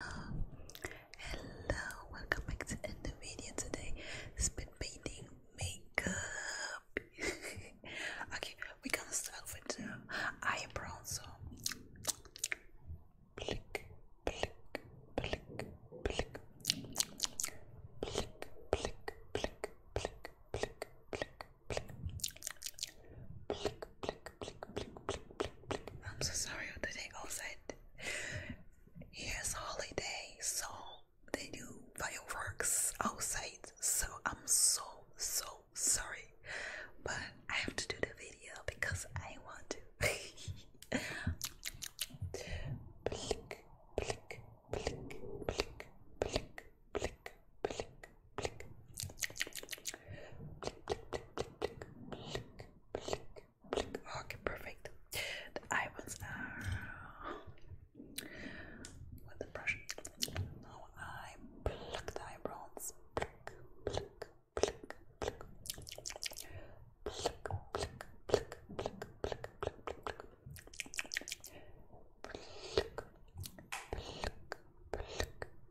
Hello, welcome back to another video today. Spit painting makeup. okay, we're gonna start with the eyebrow. So, I'm so sorry what the day goes holiday, so they do fireworks outside. So I'm so so sorry, but I have to do the video because I want to. blink, blink, blink, blink, blink, blink, blink, blink. Okay, perfect. The eyebrows are with the brush. Now I pluck the eyebrows. Pluck, pluck, pluck, pluck. Pluck, pluck, pluck, pluck, pluck, pluck, pluck. Pluck, pluck, pluck, pluck,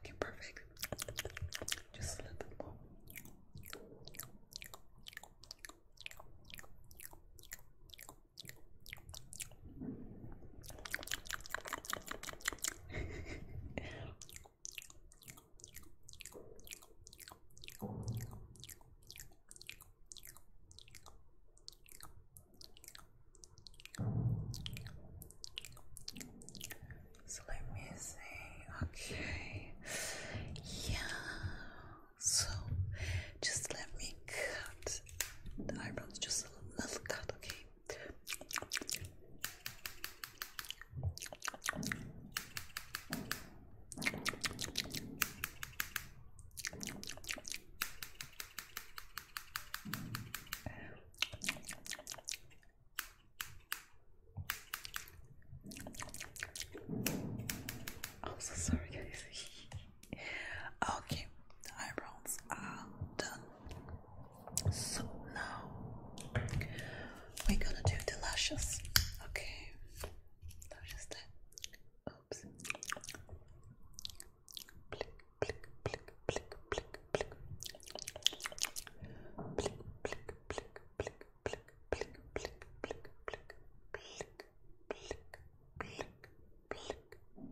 Okay, perfect. Just a little bit more. So let me see. Okay. Yeah. So just let me cut the eyebrows just a little cut, okay? I'm so sorry, guys. okay, the eyebrows are done. So now we're gonna do the lashes. Okay, lashes there. Oops. Blick, blick, blick, blick, blick, blick. Blick, blick, blick, blick, blick, blick, blick, blick, blick, blick, blick, blick, blick, blick, blick,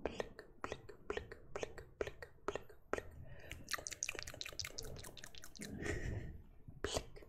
blick, blick, blick, blick, blick. Blick,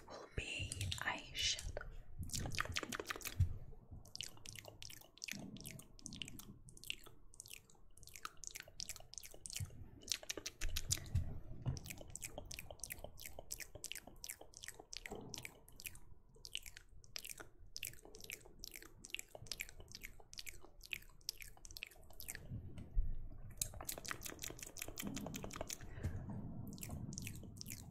this will be eyeshadow.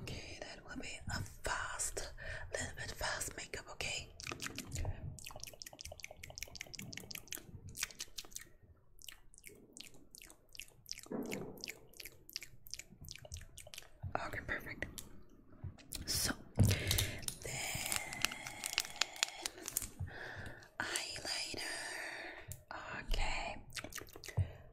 Okay, that will be a fast, little bit fast makeup, okay? Okay, perfect. So then eyeliner. Okay.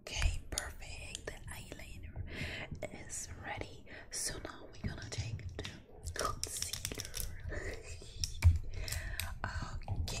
Okay, perfect. The eyeliner is ready. So now we're gonna take the concealer. okay.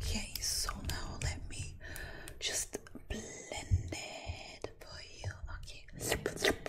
Okay, so now let me just blend it for you. Okay.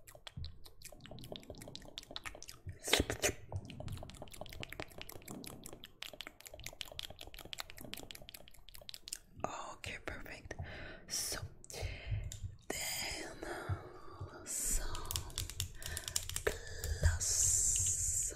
Okay, perfect. So then some plus.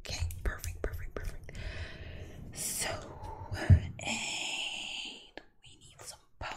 Okay, perfect, perfect, perfect. So, and we need some powder.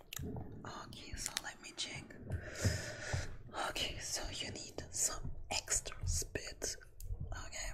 Okay, so let me check. Okay, so you need some extra spit. Okay.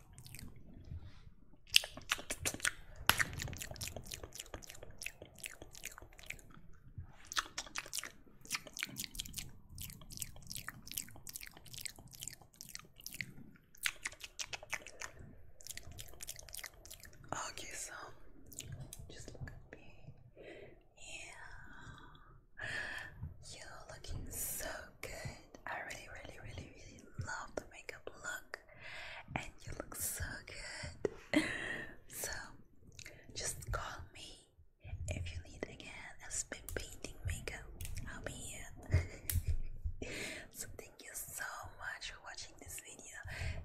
Okay, so just look at me. Yeah. You're looking so good. I really, really, really, really love the makeup look, and you look so good. So, just call me if you need again a spin painting makeup. I'll be here. so, thank you so much for watching this video.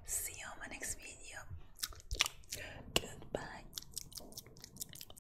See you on my next video. Goodbye.